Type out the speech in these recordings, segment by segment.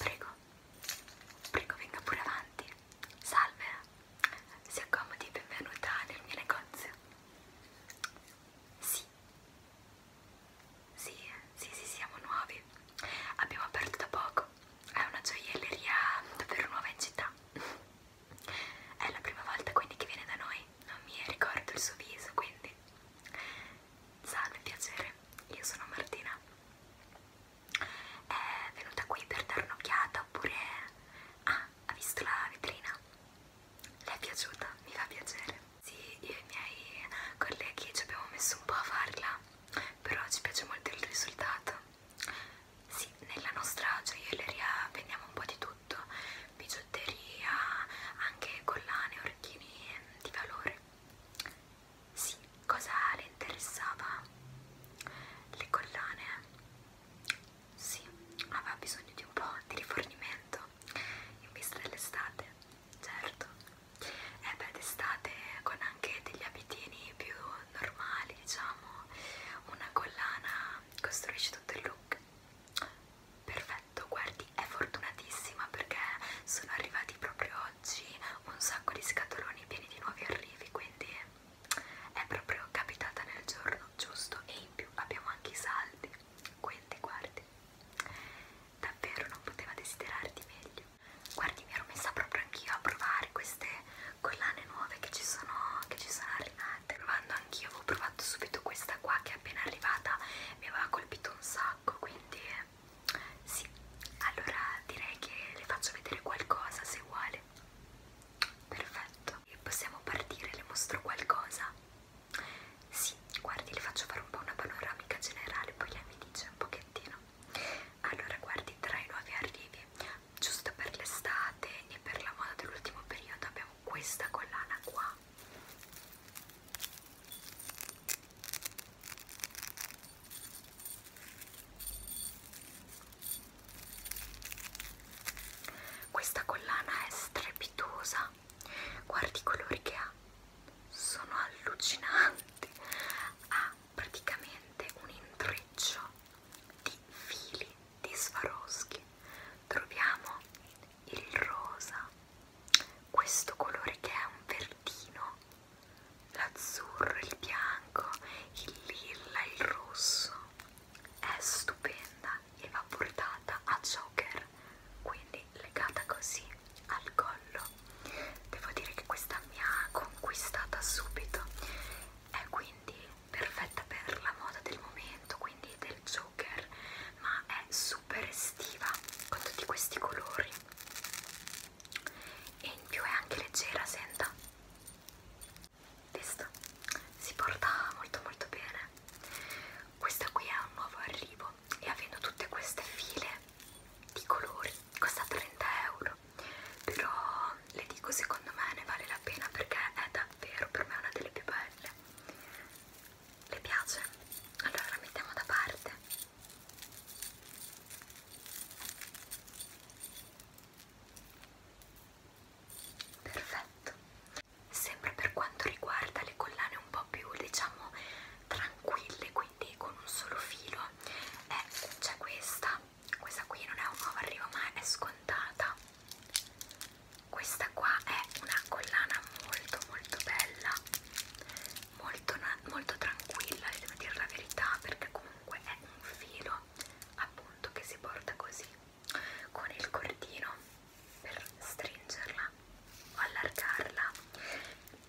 Prego, prego venga pure avanti. Salve, si accomodi, benvenuta nel mio negozio. Sì, sì, sì, sì, siamo nuovi. Abbiamo aperto da poco. È una gioielleria davvero nuova in città. È la prima volta quindi che viene da noi. Non mi ricordo il suo viso, quindi. Salve, piacere. Io sono Martina. È venuta qui per dare un'occhiata oppure... Ah, ha visto la vetrina? Le è piaciuta? Mi fa piacere. Sì, io e i miei colleghi ci abbiamo messo un po' a farla però ci piace molto il risultato sì, nella nostra gioielleria vendiamo un po' di tutto bigiotteria, anche collane, orecchini ehm, di valore sì, cosa le interessava? le collane? sì, aveva bisogno di un po' di rifornimento in vista dell'estate certo e eh beh d'estate con anche degli abitini più normali diciamo una collana costruisce tutto il look perfetto guardi è fortunatissima perché sono arrivati proprio oggi un sacco di scatoloni pieni di nuovi arrivi quindi è proprio capitata nel giorno giusto e in più abbiamo anche i saldi quindi guardi davvero non poteva desiderarti meglio. Guardi, mi ero messa proprio anch'io a provare queste collane nuove che ci sono, che ci sono arrivate. Provando anch'io, avevo provato subito questa qua che è appena arrivata, mi aveva colpito un sacco, quindi sì. Allora direi che le faccio vedere qualcosa se vuole. Perfetto. E possiamo partire, le mostro qualcosa. Sì, guardi, le faccio fare un po' una panoramica generale, poi lei mi dice un pochettino. Allora, guardi, tra i nuovi arrivi, giusto per l'estate e per la moda dell'ultimo periodo, abbiamo questa collana qua. Questa collana è strepitosa ha guardi i colori che ha sono allucinanti ha praticamente un intreccio di fili di Swarovski troviamo il rosa questo colore che è un verdino l'azzurro, il bianco, il lilla, il rosso è stupenda l'ha portata a Joker quindi legata così al collo devo dire che questa mi ha conquistata subito è quindi perfetta per la moda del momento quindi del Joker ma è super estiva con tutti questi colori e in più è anche leggera senta visto si porta molto molto bene questa qui è un nuovo arrivo e avendo tutte queste file di colori costa 30 euro. Però le dico secondo me ne vale la pena perché è davvero per me una delle più belle. Le piace? Allora la mettiamo da parte. Perfetto sempre per quanto riguarda le collane un po' più diciamo tranquille quindi con un solo filo eh, c'è questa questa qui non è un nuovo arrivo ma è scontata questa qua è una collana molto molto bella molto, molto tranquilla devo dire la verità perché comunque è un filo appunto che si porta così con il cordino per stringerla o allargarla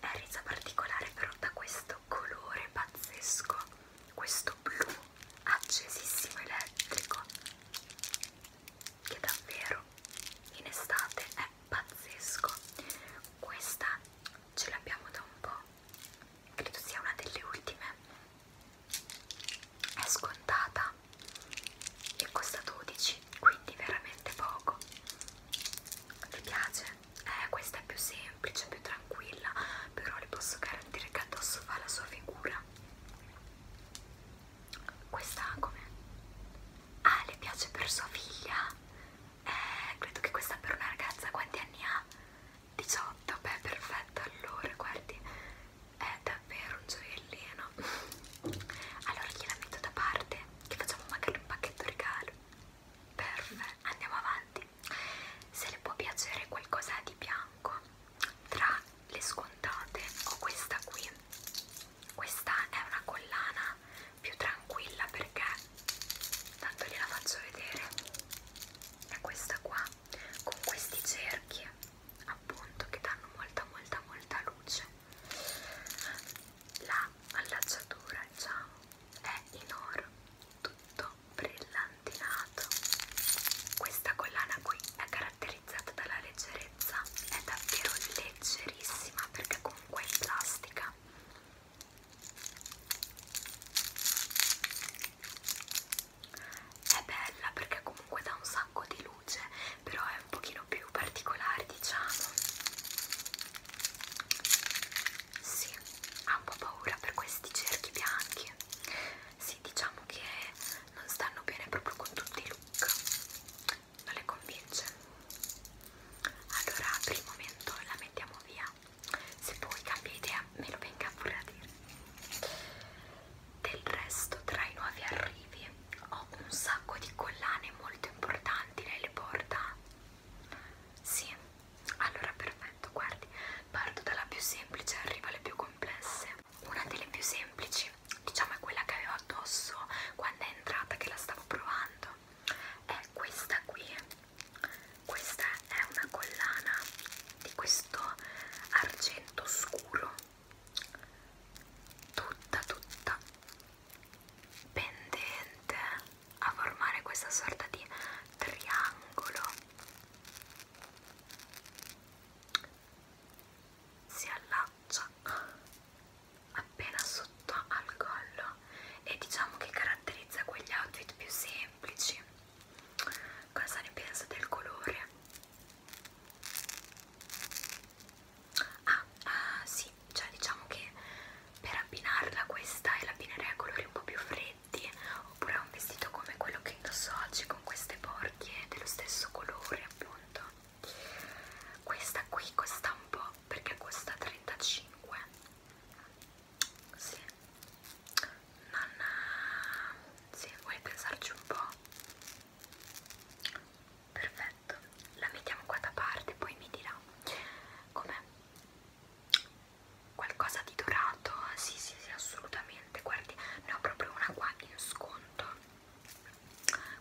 è resa particolare però da questo colore pazzesco questo blu accesissimo elettrico che davvero in estate è pazzesco questa ce l'abbiamo da un po' credo sia una delle ultime è scontata e costa 12 quindi veramente poco ti piace? Eh, questa è più semplice, più tranquilla però le posso garantire che addosso fa la sua figura questa come? ah le piace per sua figlia? eh, credo che questa per una ragazza quanti anni ha? 18, beh perfetto allora guardi è davvero un gioiellino allora gliela metto da parte che facciamo magari un pacchetto regalo perfetto andiamo avanti se le può piacere qualcosa di bianco tra le scontate ho questa qui questa è una collana più tranquilla perché tanto gliela faccio vedere è questa qua con questi cerchi appunto che danno molta molta molta luce la allacciatura diciamo è in oro tutto brillantinato questa collana qui è caratterizzata dalla leggerezza è davvero leggerissima perché comunque è in plastica è bella perché comunque dà un sacco di luce però è un pochino più particolare diciamo sì, ha un po' paura per questi cerchi bianchi sì, diciamo che non stanno bene proprio con tutti i look non le convince allora per il momento la mettiamo via se poi cambia idea me lo venga pure a dire del resto tra i nuovi arrivi ho un sacco di collane molto importanti lei le porta? sì allora perfetto guardi parto dalla più semplice e arrivo alle più complesse una delle più semplici diciamo è quella che avevo addosso quando è entrata che la stavo provando è questa qui questa è una collana di questo argento scuro tutta tutta pendente a formare questa sorta di triangolo si allaccia appena sotto al collo e diciamo che caratterizza quegli outfit più semplici cosa ne pensa del colore? Ah, ah sì, cioè diciamo che per abbinarla a questa e l'abbinerei a colori un po' più freddi oppure a un vestito come quello che indosso oggi con queste borchie dello stesso colore appunto questa qui costa un po' perché costa 35 sì non sì, vuoi pensarci un po' perfetto la mettiamo qua da parte poi mi dirà com'è qualcosa di dorato sì sì sì assolutamente guardi ne ho proprio una qua in sconto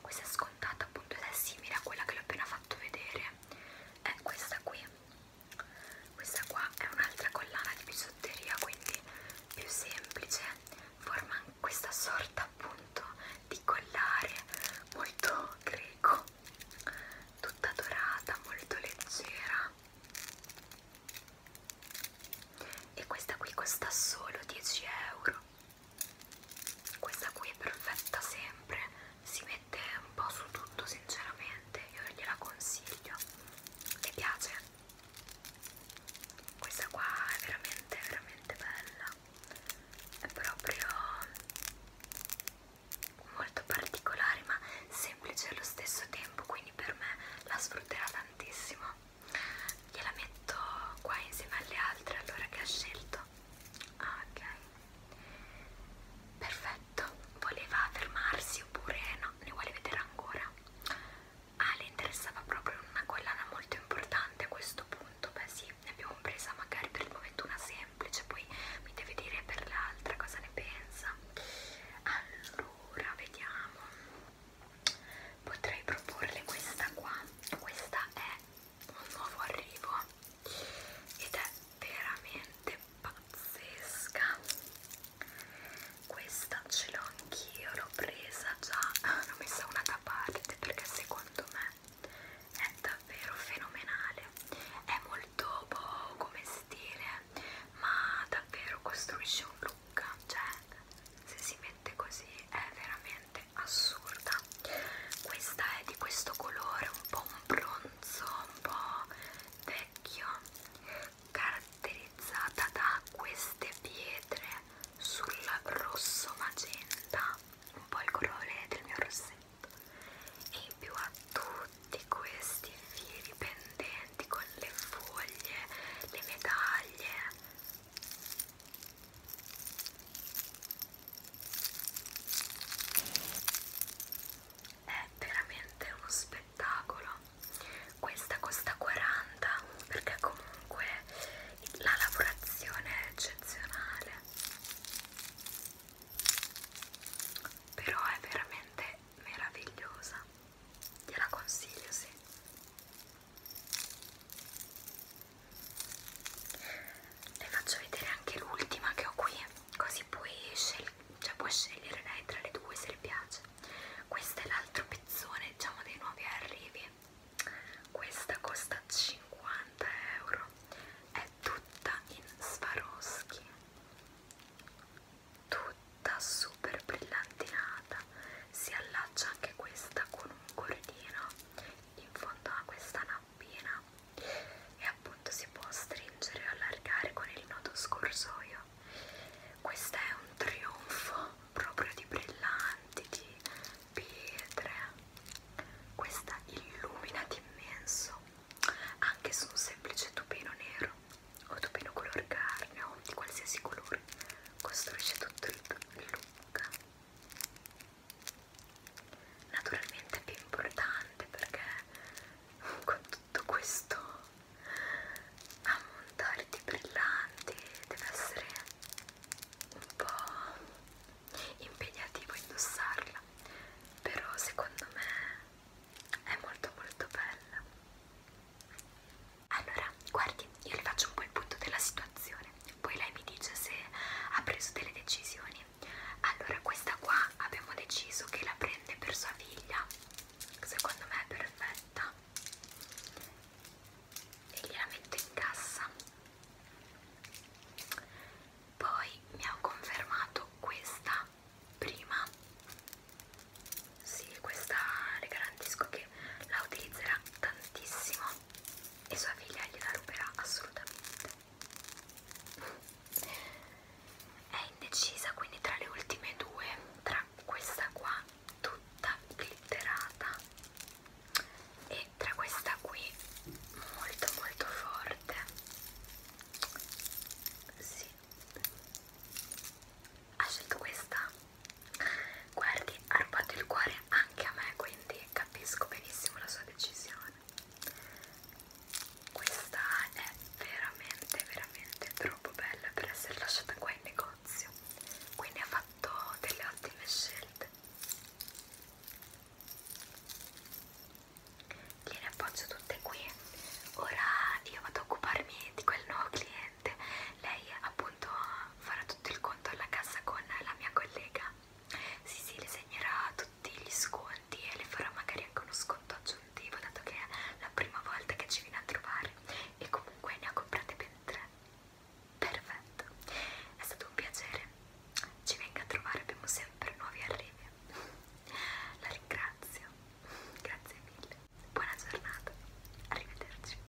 questa è scontata appunto ed è simile a quella che l'ho appena fatto vedere è questa qui questa qua è un'altra collana di bisotteria quindi più semplice forma questa sorta appunto di collare molto greco tutta dorata molto leggera e questa qui costa solo 10 euro questa qui è perfetta sempre si mette un po' su tutto sinceramente io gliela consiglio mi piace questa qua è veramente veramente bella è proprio molto particolare ma semplice allo stesso tempo quindi per me la sfrutterà tantissimo gliela metto qua insieme alle altre allora che ha scelto ah ok Perfetto, voleva fermarsi oppure no, ne vuole vedere ancora? Ah, le interessava proprio una collana molto importante a questo punto, beh sì, ne abbiamo presa magari per il momento una semplice, poi mi deve dire per l'altra cosa ne pensa. Allora, vediamo, potrei proporle questa qua, questa è un nuovo arrivo ed è veramente pazzesca questa ce l'ho anch'io l'ho presa già ah, l'ho messa una da parte perché secondo me è davvero fenomenale è molto boh come stile ma davvero costruisce un look cioè se si mette così è veramente assurda questa è di questo colore un po' un bronzo un po' vecchio caratterizzata da queste pietre sul rosso magenta un po' il colore del mio rossetto e in più ha tutti questi fili pendenti con le foglie le medaglie è veramente uno spettacolo questa costa 40 perché comunque la lavorazione è eccezionale però è veramente meravigliosa gliela consiglio sì le faccio vedere anche l'ultima che ho qui così poi scegli, cioè puoi scegliere lei tra le due se le piace questo è l'altro pezzone diciamo dei nuovi arrivi questa costa 50 euro è tutta in Swarovski tutta super brillantinata si allaccia anche questa con un cordino in fondo a questa una bambina e appunto si può stringere e allargare con il nodo scorsoio questo è un trionfo proprio di brillanti di pietre questa illumina d'immenso anche su un semplice tupino nero o tupino color carne o di qualsiasi colore costruisce tutto il look naturalmente è più importante perché con tutto questo ammontare di brillanti deve essere un po' impegnativo indossarla però secondo me è molto molto bella allora guardi io le faccio un po' il punto della situazione poi lei mi dice se ha preso delle decisioni allora questa qua abbiamo deciso che la prende per sua figlia secondo me è perfetta e gliela metto in cassa poi mi ha confermato questa prima sì questa le garantisco che la utilizzerà tantissimo e sua figlia gliela ruberà assolutamente. È indecisa quindi tra le ultime due, tra questa qua tutta glitterata e tra questa qui molto molto forte. Sì. Ha scelto questa Guardi, ha rubato il cuore anche a me, quindi capisco benissimo la sua decisione. Questa è veramente, veramente troppo bella per essere lasciata qua in negozio. Quindi ha fatto delle ottime scelte. Gliene appoggio tutte qui. Ora io vado a occuparmi di quel nuovo cliente presente, lei appunto farà tutto il conto alla cassa con la mia collega. Sì, sì, le segnerà tutti gli sconti e le farà magari anche uno sconto aggiuntivo, dato che è la prima volta che ci viene a trovare. E comunque ne ha comprate ben tre. Perfetto, è stato un piacere. Ci venga a trovare, abbiamo sempre nuovi arrivi. La ringrazio, grazie mille. Buona giornata, arrivederci.